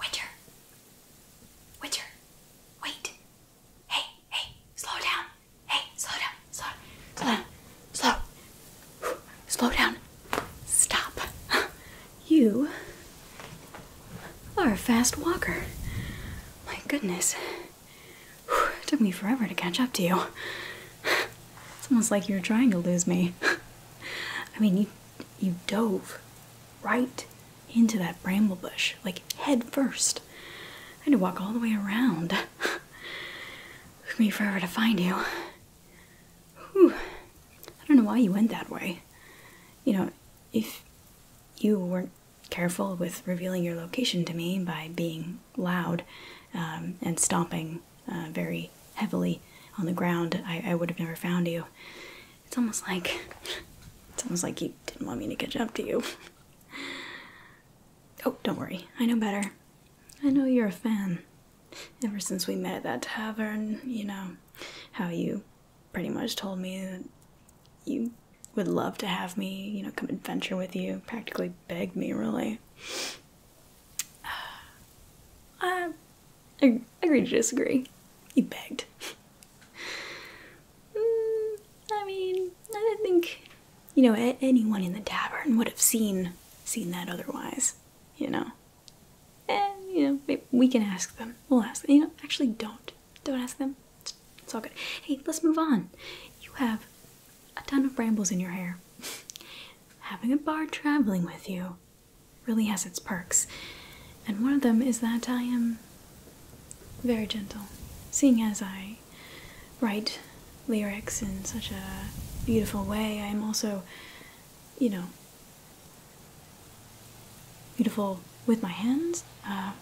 Witcher. Witcher. Wait. Hey, hey, slow down. Hey, slow down. Slow slow down. Slow. Slow down. Stop. You are a fast walker. My goodness. It took me forever to catch up to you. It's almost like you're trying to lose me. I mean, you you dove right into that bramble bush, like head first. I had to walk all the way around. it took me forever to find you. Whew. I don't know why you went that way. You know, if you weren't careful with revealing your location to me by being loud um, and stomping uh, very heavily on the ground, I, would have never found you. It's almost like it's almost like you didn't want me to catch up to you. Oh, don't worry. I know better. I know you're a fan. Ever since we met at that tavern, you know, how you pretty much told me that you would love to have me, you know, come adventure with you, practically begged me, really. Uh, I agree to disagree. You begged. Mm, I mean, I don't think you know anyone in the tavern would have seen seen that otherwise. You know, and you know we can ask them. We'll ask You know, actually, don't don't ask them. It's all good. Hey, let's move on. You have a ton of brambles in your hair. Having a bard traveling with you really has its perks. And one of them is that I am very gentle, seeing as I write lyrics in such a beautiful way. I am also, you know, beautiful with my hands. Uh,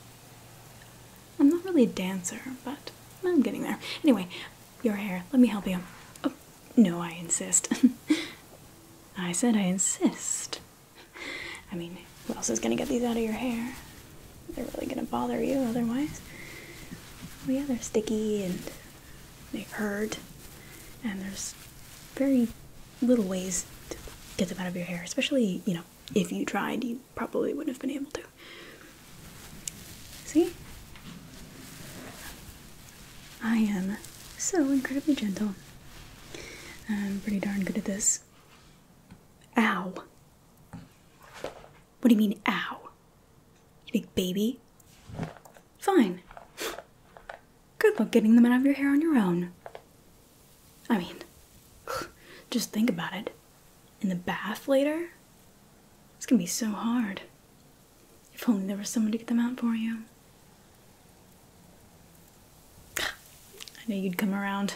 I'm not really a dancer, but I'm getting there. Anyway, your hair. Let me help you. Oh, no, I insist. I said I insist. I mean, who else is gonna get these out of your hair? They're really gonna bother you otherwise. Oh, yeah, they're sticky and they hurt, and there's very little ways to get them out of your hair, especially, you know, if you tried, you probably wouldn't have been able to. See? I am so incredibly gentle. I'm pretty darn good at this. Ow. What do you mean, ow? You big baby? Fine. Good luck getting them out of your hair on your own. I mean, just think about it. In the bath later? It's gonna be so hard. If only there was someone to get them out for you. I knew you'd come around.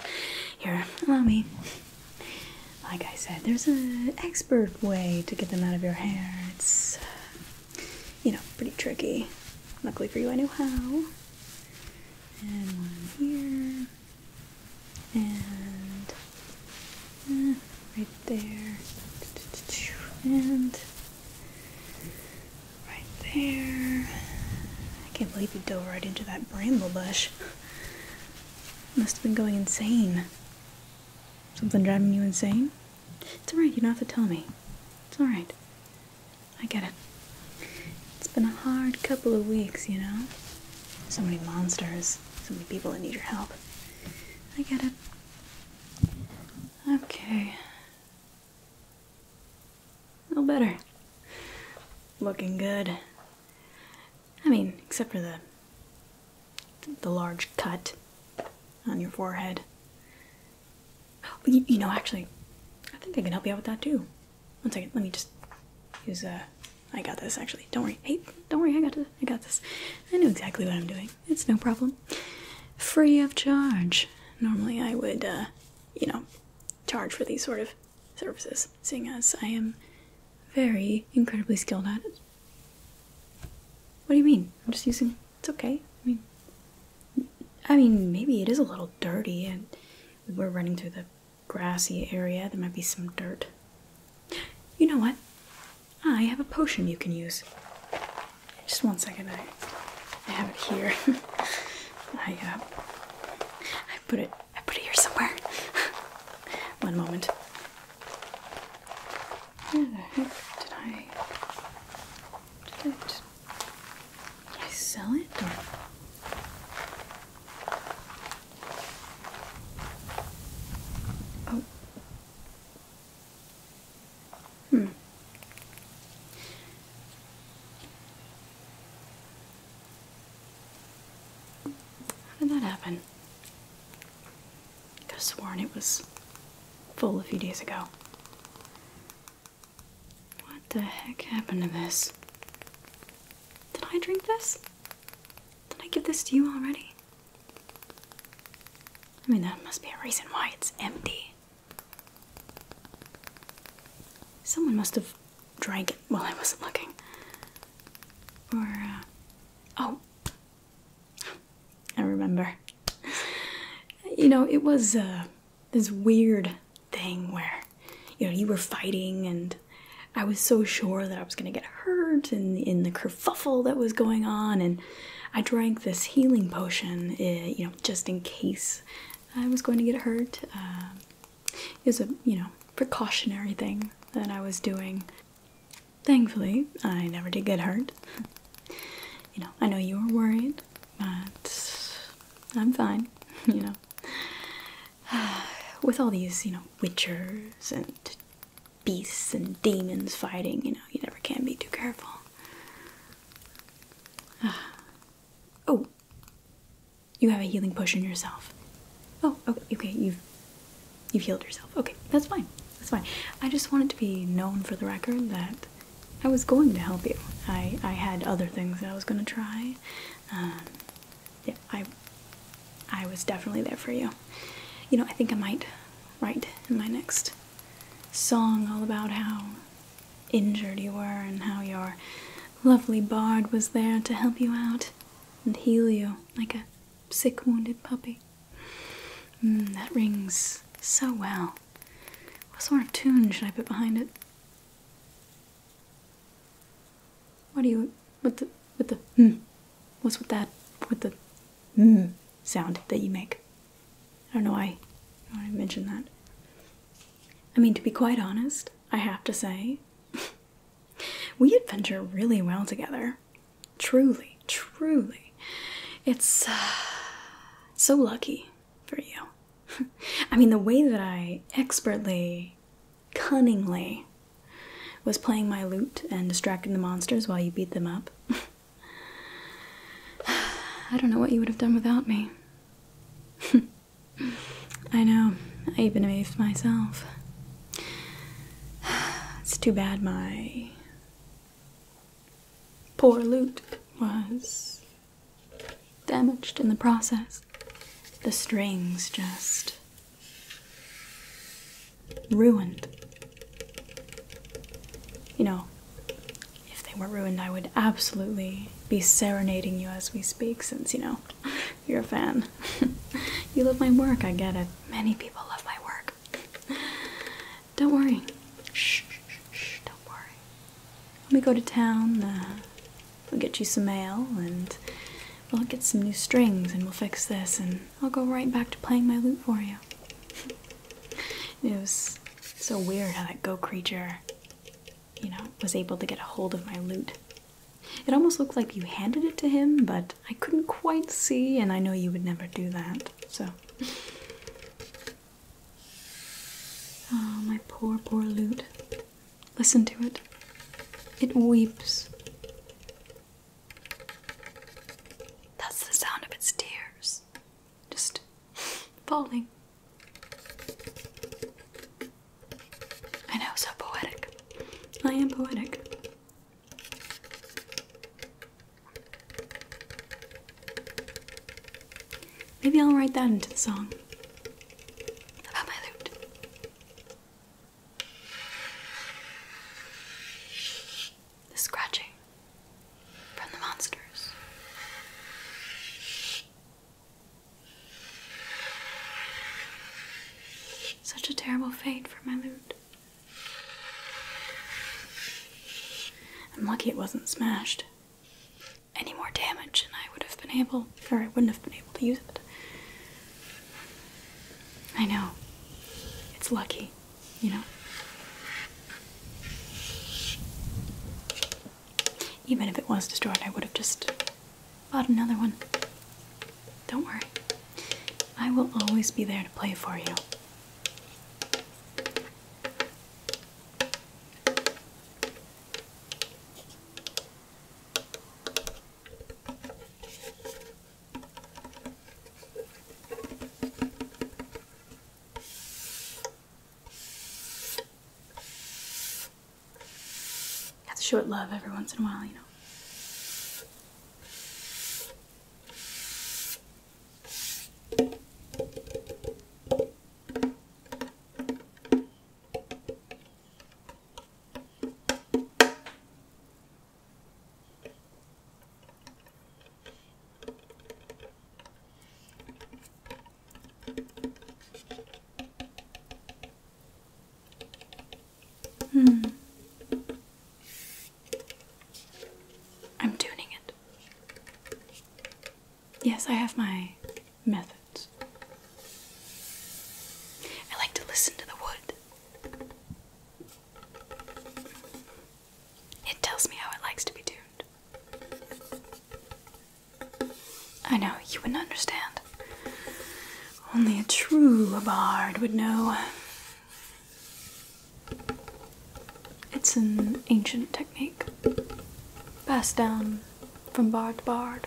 Here, allow me. Like I said, there's an expert way to get them out of your hair. It's, you know, pretty tricky. Luckily for you, I know how. And here. And uh, right there. And Right there. I can't believe you dove right into that bramble bush. Must have been going insane. Something driving you insane? It's alright, you don't have to tell me. It's alright. I get it. It's been a hard couple of weeks, you know? So many monsters, so many people that need your help. I get it. Okay, a little better. Looking good. I mean, except for the the large cut on your forehead. You, you know, actually, I think I can help you out with that too. One second, let me just use a. Uh, I got this actually. Don't worry. Hey, don't worry. I got this. I got this. I know exactly what I'm doing. It's no problem. Free of charge. Normally I would, uh, you know, charge for these sort of services, seeing as I am very incredibly skilled at it. What do you mean? I'm just using. It's okay. I mean, I mean, maybe it is a little dirty, and we're running through the grassy area. There might be some dirt. You know what? Ah, I have a potion you can use. Just one second, I, I have it here. I uh, I put it I put it here somewhere. one moment. did I sell it Oh Hmm. How did that happen? I could sworn it was full a few days ago. What the heck happened to this? Did I drink this? Did I give this to you already? I mean, there must be a reason why it's empty. Someone must have drank it while I wasn't looking. Or, uh, oh, I remember. You know, it was uh, this weird thing where, you know, you were fighting and I was so sure that I was going to get hurt and in the kerfuffle that was going on and I drank this healing potion, uh, you know, just in case I was going to get hurt. Uh, it was a, you know, precautionary thing that I was doing. Thankfully, I never did get hurt. you know, I know you were worried, but I'm fine, you know. With all these, you know, witchers and beasts and demons fighting. You know, you never can be too careful. oh, you have a healing potion yourself. Oh, okay, okay, you've you healed yourself. Okay, that's fine. That's fine. I just wanted to be known for the record that I was going to help you. I I had other things that I was gonna try. Um, yeah, I I was definitely there for you. You know, I think I might write in my next song all about how injured you were and how your lovely bard was there to help you out and heal you like a sick, wounded puppy. Mm, that rings so well. What sort of tune should I put behind it? What do you What the What the hmm, what's with that What the hmm, sound that you make? I don't know why I mentioned that. I mean, to be quite honest, I have to say, we adventure really well together. Truly, truly. It's uh, so lucky for you. I mean, the way that I expertly, cunningly was playing my lute and distracting the monsters while you beat them up. I don't know what you would have done without me. I know, I even amazed myself. It's too bad my poor lute was damaged in the process. The strings just ruined. You know, if they were ruined, I would absolutely be serenading you as we speak, since, you know, you're a fan. you love my work, I get it. Many people love my work. Don't worry. Shh, shh, shh, don't worry. Let me go to town, uh, we'll get you some mail, and we'll get some new strings, and we'll fix this, and I'll go right back to playing my lute for you. It was so weird how that go creature, you know, was able to get a hold of my loot. It almost looked like you handed it to him, but I couldn't quite see, and I know you would never do that, so. Oh, my poor, poor loot. Listen to it. It weeps. That's the sound of its tears just falling. I know, so poetic. I am poetic. Maybe I'll write that into the song about my lute the scratching from the monsters. Such a terrible fate for my loot. I'm lucky it wasn't smashed. Any more damage, and I would have been able, or I wouldn't have been able to use it. I know. It's lucky you know. Even if it was destroyed, I would have just bought another one. Don't worry. I will always be there to play for you. Have to show it love every once in a while, you know. Hmm. I'm tuning it. Yes, I have my methods. I like to listen to the wood. It tells me how it likes to be tuned. I know, you wouldn't understand. Only a true bard would know. It's an ancient technique, passed down from bard to bard.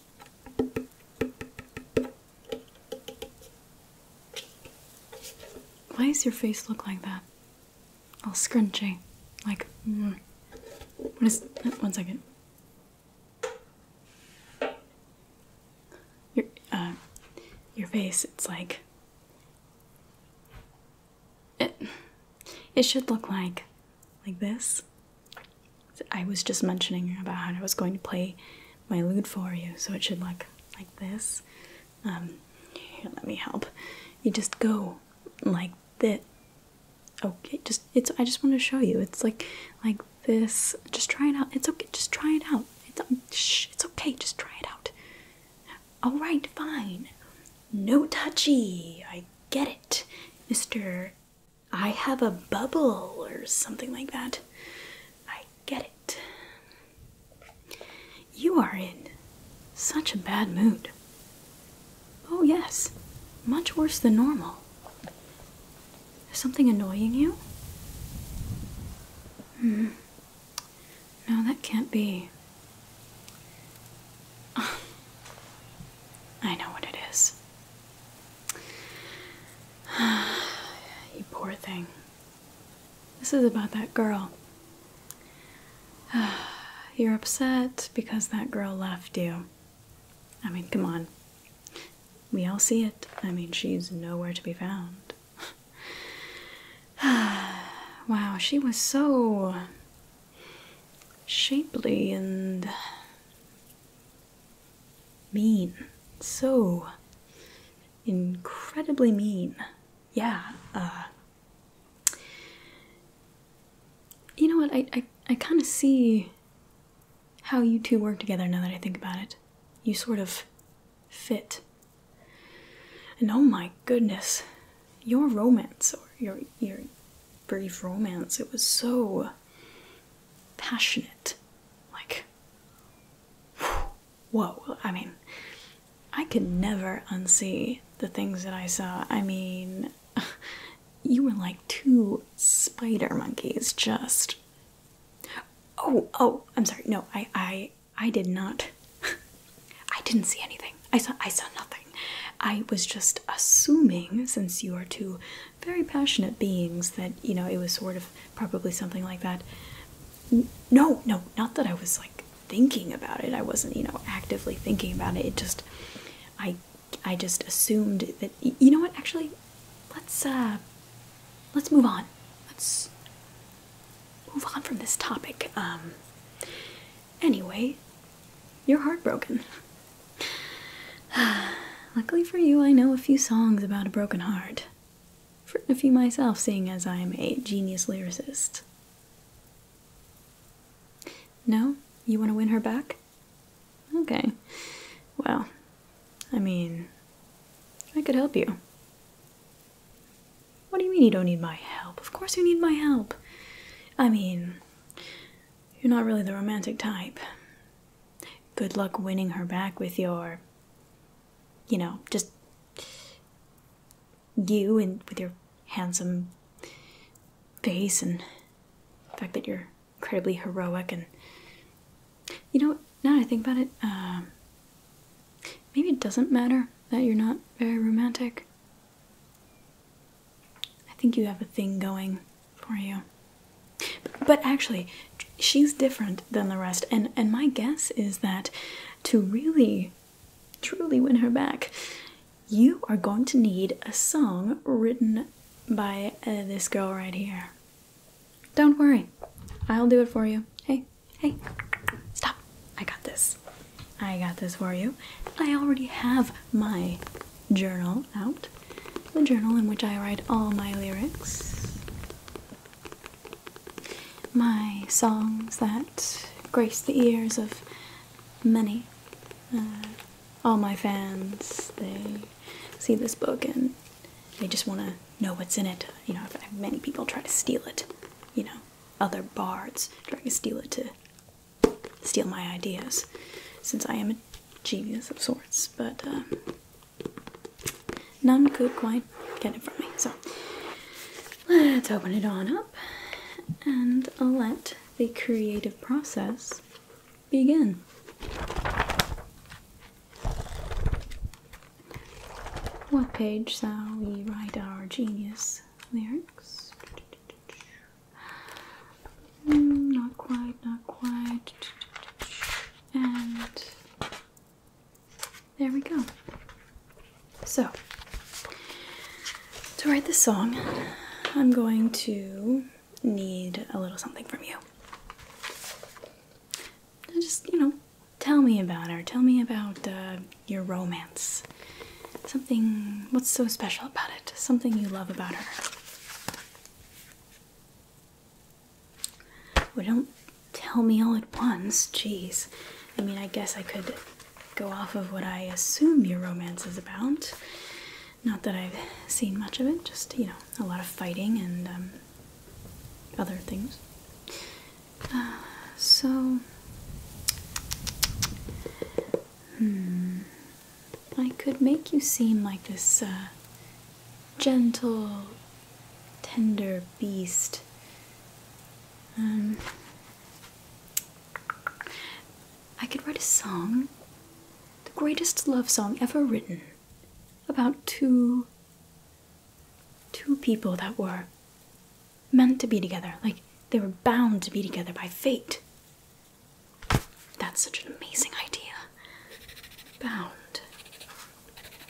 Why does your face look like that? All scrunchy. Like, mm. what is. One second. Your, uh, your face, it's like. It, it should look like. like this. I was just mentioning about how I was going to play my lute for you, so it should look like this. Um, let me help. You just go like this. Okay, just it's. I just want to show you. It's like like this. Just try it out. It's okay. Just try it out. It's um, shh, It's okay. Just try it out. All right, fine. No touchy. I get it, Mister I have a bubble or something like that. I get it. You are in such a bad mood. Oh, yes, much worse than normal. Is something annoying you? Hmm. No, that can't be. I know what it is. you poor thing. This is about that girl. You're upset because that girl left you. I mean, come on. We all see it. I mean, she's nowhere to be found. wow, she was so shapely and mean, so incredibly mean. Yeah. Uh, you know what? I I, I kind of see how you two work together now that I think about it. You sort of fit. And oh my goodness, your romance or your your brief romance, it was so passionate. Like, whoa. I mean, I can never unsee the things that I saw. I mean, you were like two spider monkeys just. Oh, oh, I'm sorry. No, I I I did not I didn't see anything. I saw I saw nothing. I was just assuming since you are two very passionate beings that you know it was sort of probably something like that no no not that i was like thinking about it i wasn't you know actively thinking about it it just i i just assumed that you know what actually let's uh let's move on let's move on from this topic um anyway you're heartbroken Luckily for you, I know a few songs about a broken heart. written a few myself, seeing as I am a genius lyricist. No? You want to win her back? Okay. Well, I mean, I could help you. What do you mean you don't need my help? Of course you need my help. I mean, you're not really the romantic type. Good luck winning her back with your, you know, just you and with your handsome face and the fact that you're incredibly heroic and you know now i think about it um, maybe it doesn't matter that you're not very romantic I think you have a thing going for you. But actually, she's different than the rest, and and my guess is that to really truly win her back, you are going to need a song written by uh, this girl right here. Don't worry, I'll do it for you. Hey, hey, stop! I got this. I got this for you. I already have my journal out the journal in which I write all my lyrics, my songs that grace the ears of many. Uh, all my fans, they see this book and they just want to know what's in it. You know, many people try to steal it. You know, other bards try to steal it to steal my ideas. Since I am genius of sorts, but um, none could quite get it from me. So let's open it on up and let the creative process begin. What page shall we write our genius lyrics? Mm, not quite, not quite. And there we go. So, to write this song, I'm going to need a little something from you. Just, you know, tell me about her. Tell me about uh, your romance. Something, what's so special about it? Something you love about her. Well, don't tell me all at once. Jeez. I mean, I guess I could go off of what I assume your romance is about. Not that I've seen much of it, just, you know, a lot of fighting and um, other things. Uh, so. Hmm. I could make you seem like this uh, gentle, tender beast. Um, I could write a song, the greatest love song ever written, about two two people that were meant to be together, like they were bound to be together by fate. That's such an amazing idea. Bound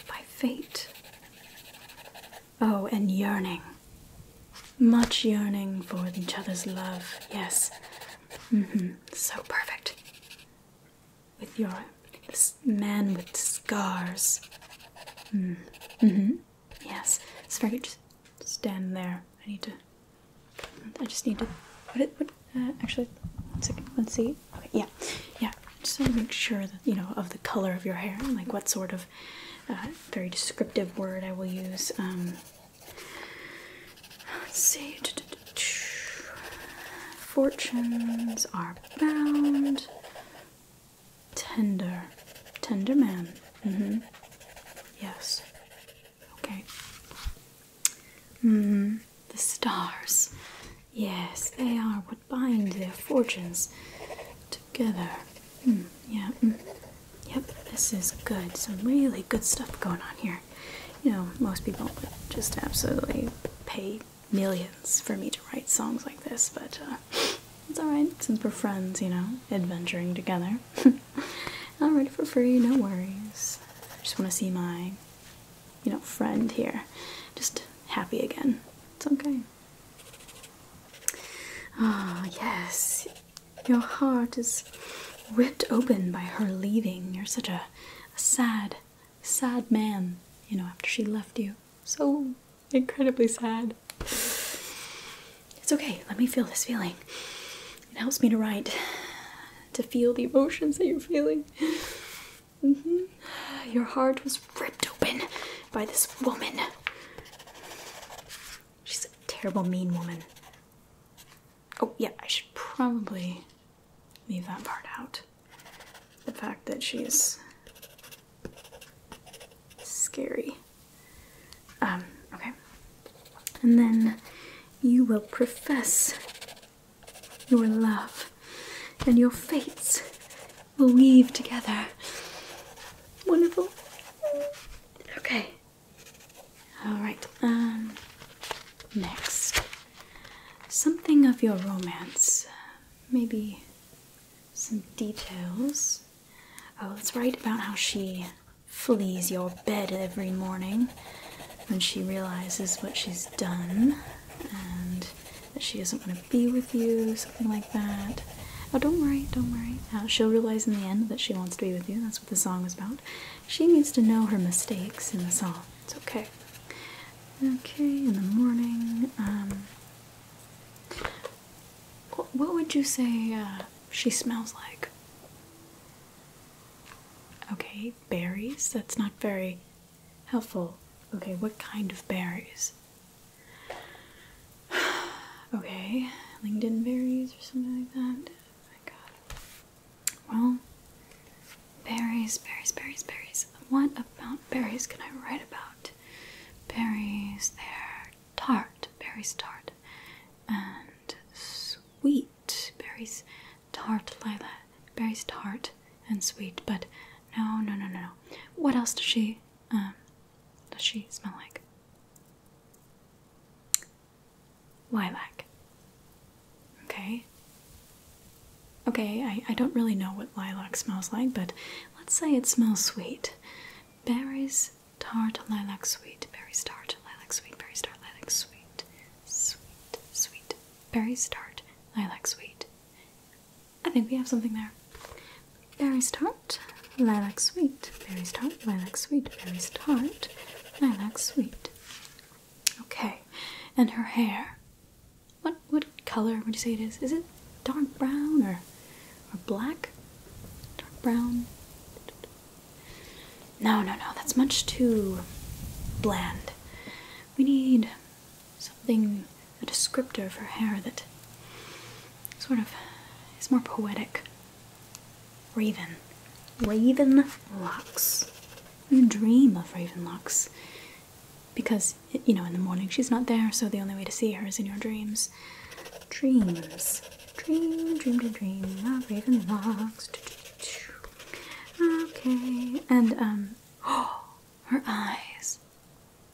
by fate. Oh, and yearning. Much yearning for each other's love, yes. Mm-hmm. So perfect. With your man with scars. Mm. hmm Yes. It's very just stand there. I need to I just need to put it. Put, uh, actually, one second. Let's see. Okay, yeah, yeah. Just to make sure that you know of the color of your hair like what sort of uh, very descriptive word I will use. Um, let's see. Fortunes are bound. Tender, tender man. Mm-hmm. Yes. Okay. Hmm, the stars. Yes, they are what bind their fortunes together. Hmm, yeah. Hmm. Yep, this is good. Some really good stuff going on here. You know, most people would just absolutely pay millions for me to write songs like this, but uh, it's alright since we're friends, you know, adventuring together. i am ready for free, no worries. I just want to see my, you know, friend here just happy again. It's okay. Ah, oh, yes. Your heart is ripped open by her leaving. You're such a, a sad, sad man, you know, after she left you. So incredibly sad. It's okay. Let me feel this feeling. It helps me to write, to feel the emotions that you're feeling. Mm-hmm. Your heart was ripped open by this woman. She's a terrible, mean woman. Oh, yeah, I should probably leave that part out. The fact that she's scary. Um, okay. And then you will profess your love, and your fates will weave together. Wonderful. Okay. All right. Um. Next, something of your romance, maybe some details. Oh, let's write about how she flees your bed every morning when she realizes what she's done and that she doesn't want to be with you, something like that. Oh, don't worry, don't worry. Uh, she'll realize in the end that she wants to be with you. That's what the song is about. She needs to know her mistakes in the song. It's okay. Okay, in the morning. Um, what would you say uh, she smells like? Okay, berries? That's not very helpful. Okay, what kind of berries? okay, Langdon berries or something like that. Oh my god. Well, berries, berries, berries, berries. What about berries can I write about? Berries, they're tart, berries tart, and sweet berries tart, lilac, Berries tart and sweet, but no, no, no, no, no. What else does she, um, does she smell like? Lilac. Okay. Okay, I, I don't really know what lilac smells like, but let's say it smells sweet. Berries Tart lilac sweet, berry tart, lilac sweet, berry tart, lilac sweet, sweet, sweet, berry tart, lilac sweet. I think we have something there. Berry tart, lilac sweet, berry tart, lilac sweet, berry tart, lilac sweet. Okay, and her hair. What what color would you say it is? Is it dark brown or or black? Dark brown, no, no, no, that's much too bland. We need something, a descriptor for hair that sort of is more poetic. Raven. Raven locks. We dream of raven locks. Because, you know, in the morning she's not there, so the only way to see her is in your dreams. Dreams. Dream, dream, dream, dream of Ravenlocks. Okay, and um, oh, her eyes.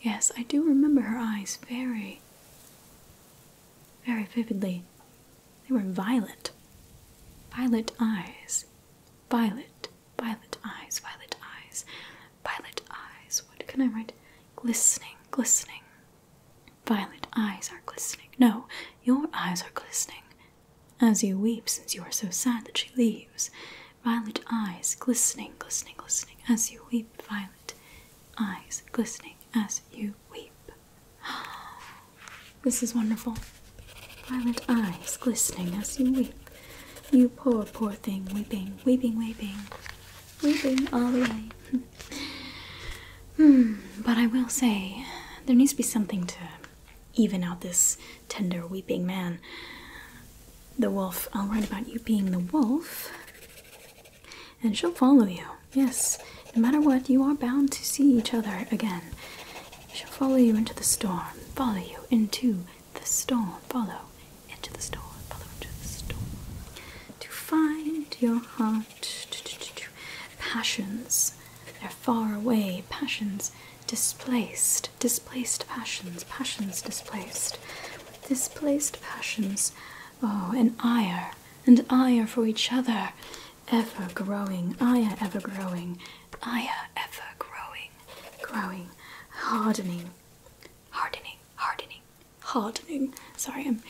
Yes, I do remember her eyes very, very vividly. They were violet. Violet eyes. Violet, violet eyes, violet eyes, violet eyes. What can I write? Glistening, glistening, Violet eyes are glistening. No, your eyes are glistening. As you weep, since you are so sad that she leaves. Violet eyes glistening, glistening, glistening. As you weep, violet eyes glistening. As you weep. This is wonderful. Violet eyes glistening as you weep. You poor, poor thing, weeping, weeping, weeping, weeping all the way. Hmm, but I will say, there needs to be something to even out this tender, weeping man. The wolf. I'll write about you being the wolf, and she'll follow you. Yes, no matter what, you are bound to see each other again. She'll follow you into the storm. Follow you into the storm. Follow into the storm. Follow into the storm. To find your heart passions they're far away passions displaced displaced passions passions displaced displaced passions oh and ire and ire for each other ever growing ire ever growing ire ever growing growing hardening hardening hardening hardening sorry i'm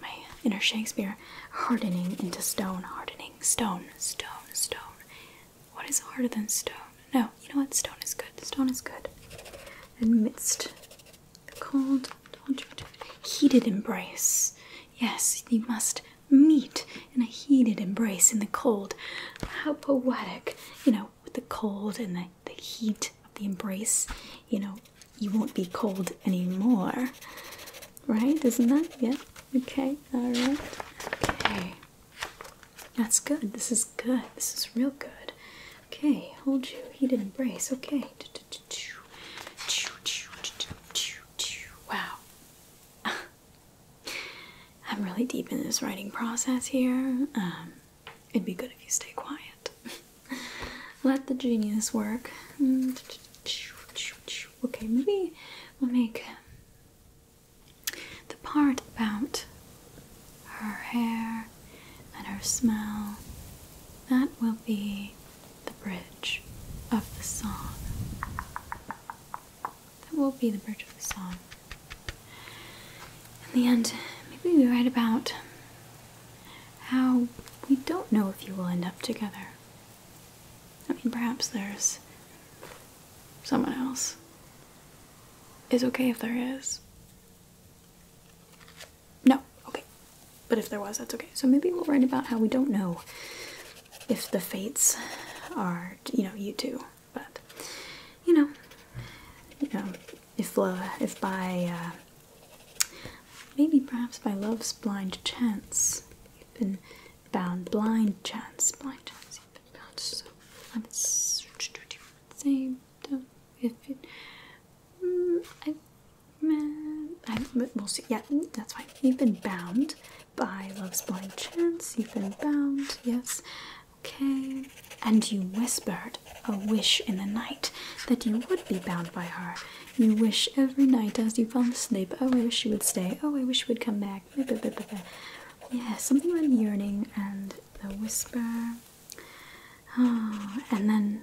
my inner Shakespeare, hardening into stone, hardening, stone, stone, stone. What is harder than stone? No, you know what? Stone is good. Stone is good. Amidst the cold, heated embrace. Yes, they must meet in a heated embrace in the cold. How poetic, you know, with the cold and the, the heat of the embrace, you know, you won't be cold anymore. Right? Isn't that? Yeah. Okay. All right. Okay. That's good. This is good. This is real good. Okay. Hold you. Heated embrace. Okay. Wow. I'm really deep in this writing process here. Um, it'd be good if you stay quiet. Let the genius work. Mm, okay, maybe we'll make the part about her hair and her smell. That will be the bridge of the song. That will be the bridge of the song. In the end, maybe we write about how we don't know if you will end up together. I mean, perhaps there's someone else. Is okay if there is. No, okay. But if there was, that's okay. So maybe we'll write about how we don't know if the fates are, you know, you two. But, you know, you know, if uh, if by uh, Maybe perhaps by love's blind chance, you've been bound. Blind chance, blind chance, you've been bound. So let's say if it. Mm, I, I, we'll see. Yeah, mm, that's fine. You've been bound by love's blind chance. You've been bound. Yes. Okay. And you whispered a wish in the night that you would be bound by her. You wish every night as you fall asleep, oh, I wish you would stay, oh, I wish you would come back. Yeah, something about yearning and the whisper. Oh, and then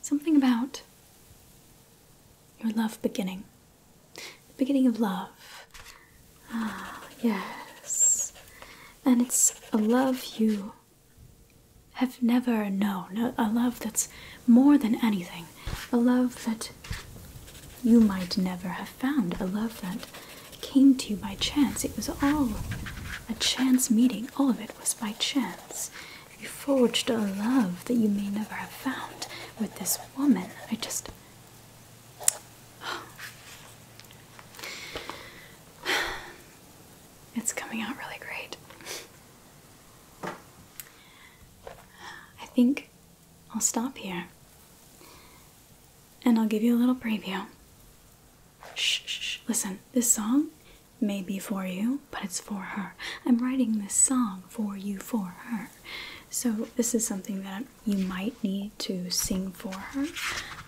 something about your love beginning. The beginning of love. Ah, yes. And it's a love you have never known a love that's more than anything, a love that you might never have found, a love that came to you by chance. It was all a chance meeting, all of it was by chance. You forged a love that you may never have found with this woman. I just. It's coming out really great. I think I'll stop here. And I'll give you a little preview. Shh, shh, Listen, this song may be for you, but it's for her. I'm writing this song for you, for her. So, this is something that you might need to sing for her.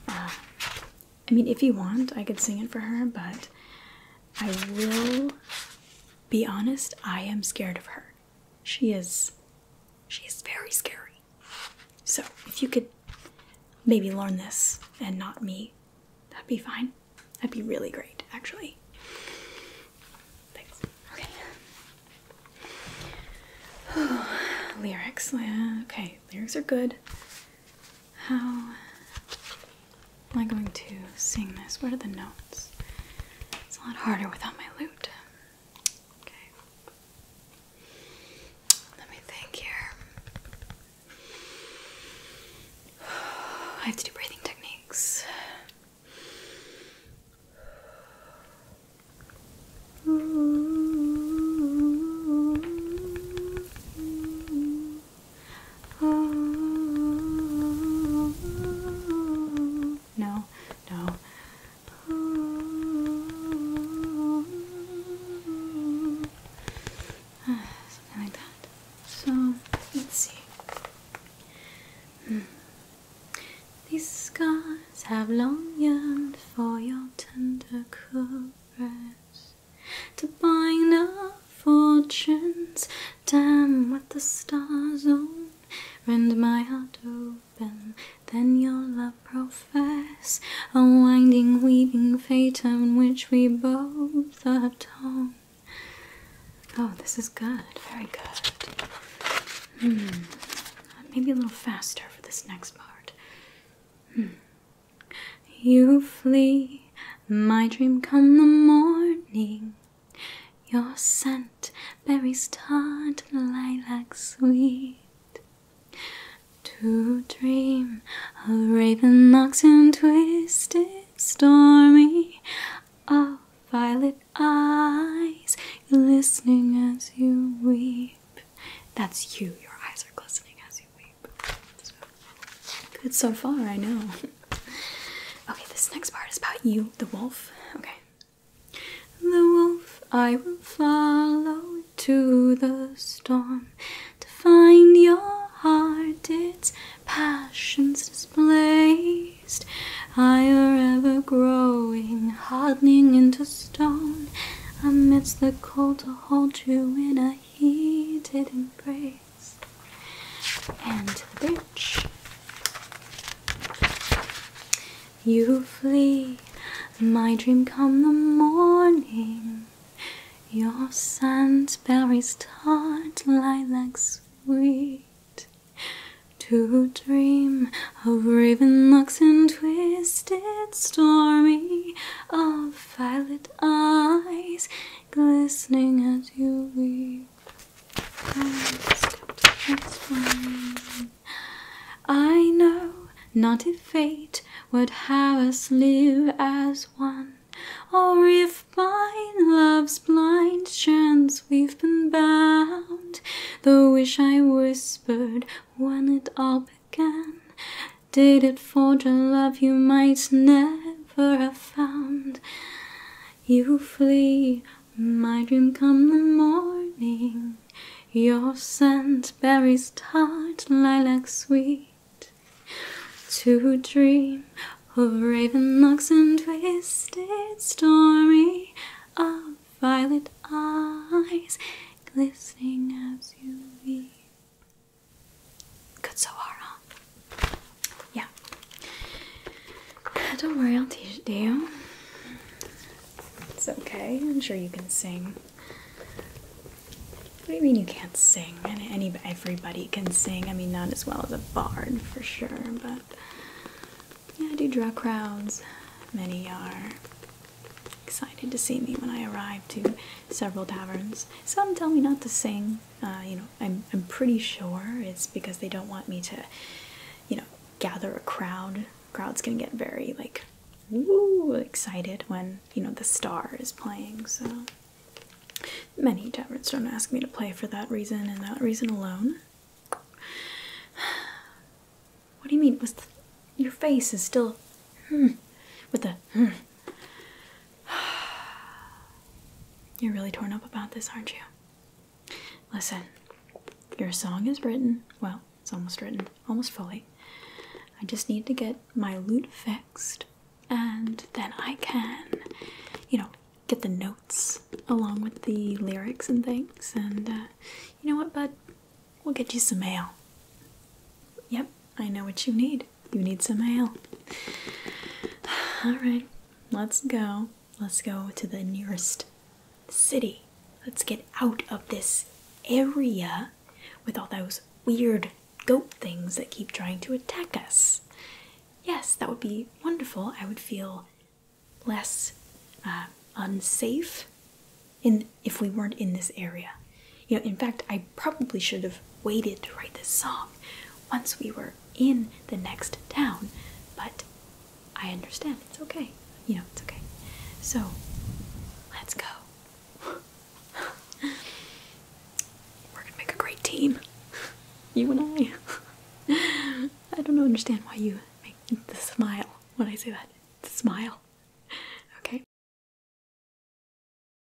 Uh, I mean, if you want, I could sing it for her, but I will be honest, I am scared of her. She is she is very scary. So, if you could maybe learn this and not me, that'd be fine. That'd be really great, actually. Thanks. Okay. Lyrics. Okay, lyrics are good. How am I going to sing this? What are the notes? It's a lot harder without my lute. Okay. Let me think here. I have to do breathing techniques. No, no. Something like that. So, let's see. Hmm. These scars have long yearned for your tender caress to bind our fortunes. Damn what the stars own, rend my heart open. Then your love profess a winding, weaving fate on which we both are torn. Oh, this is good, very good. Hmm, maybe a little faster for this next part. Hmm. You flee, my dream come the morning. Your scent, berries tart, lilac sweet. To dream a raven locks and twisted, stormy. of violet eyes glistening as you weep. That's you, your eyes are glistening as you weep good so far, I know. okay, this next part is about you, the wolf. Okay. The wolf I will follow to the storm to find your heart, its passions displaced. I are ever growing, hardening into stone. Amidst the cold to hold you in a heated embrace and to the bridge. You flee, my dream come the morning. Your scent berries tart, lilac sweet. To dream of raven locks and twisted stormy, of violet eyes glistening as you weep. I know not if fate would have us live as one, or if by love's blind chance we've been bound. The wish I whispered when it all began did it for the love you might never have found. You flee, my dream come the morning. Your scent berries tart, lilac sweet. To dream of raven locks and twisted stormy, of violet eyes glistening as you leave. Good so far, huh? Yeah. Don't worry, I'll teach it to you. It's okay. I'm sure you can sing. What do you mean you can't sing? Any everybody can sing. I mean, not as well as a bard for sure, but yeah, I do draw crowds. Many are excited to see me when I arrive to several taverns. Some tell me not to sing, uh, you know, I'm I'm pretty sure it's because they don't want me to, you know, gather a crowd. Crowd's can get very like, woo, excited when you know the star is playing. So many taverns don't ask me to play for that reason and that reason alone. What do you mean? Was the, your face is still hmm, with the hmm. You're really torn up about this, aren't you? Listen, your song is written. Well, it's almost written, almost fully. I just need to get my lute fixed, and then I can, you know, get the notes along with the lyrics and things. And uh, you know what, bud? We'll get you some mail. Yep, I know what you need. You need some ale. Alright, let's go. Let's go to the nearest city. Let's get out of this area with all those weird goat things that keep trying to attack us. Yes, that would be wonderful. I would feel less uh, unsafe in if we weren't in this area. You know, in fact, I probably should have waited to write this song once we were in the next town, but I understand. It's okay. You know, it's okay. So, let's go. We're gonna make a great team. You and I. I don't understand why you make the smile when I say that. smile. Okay?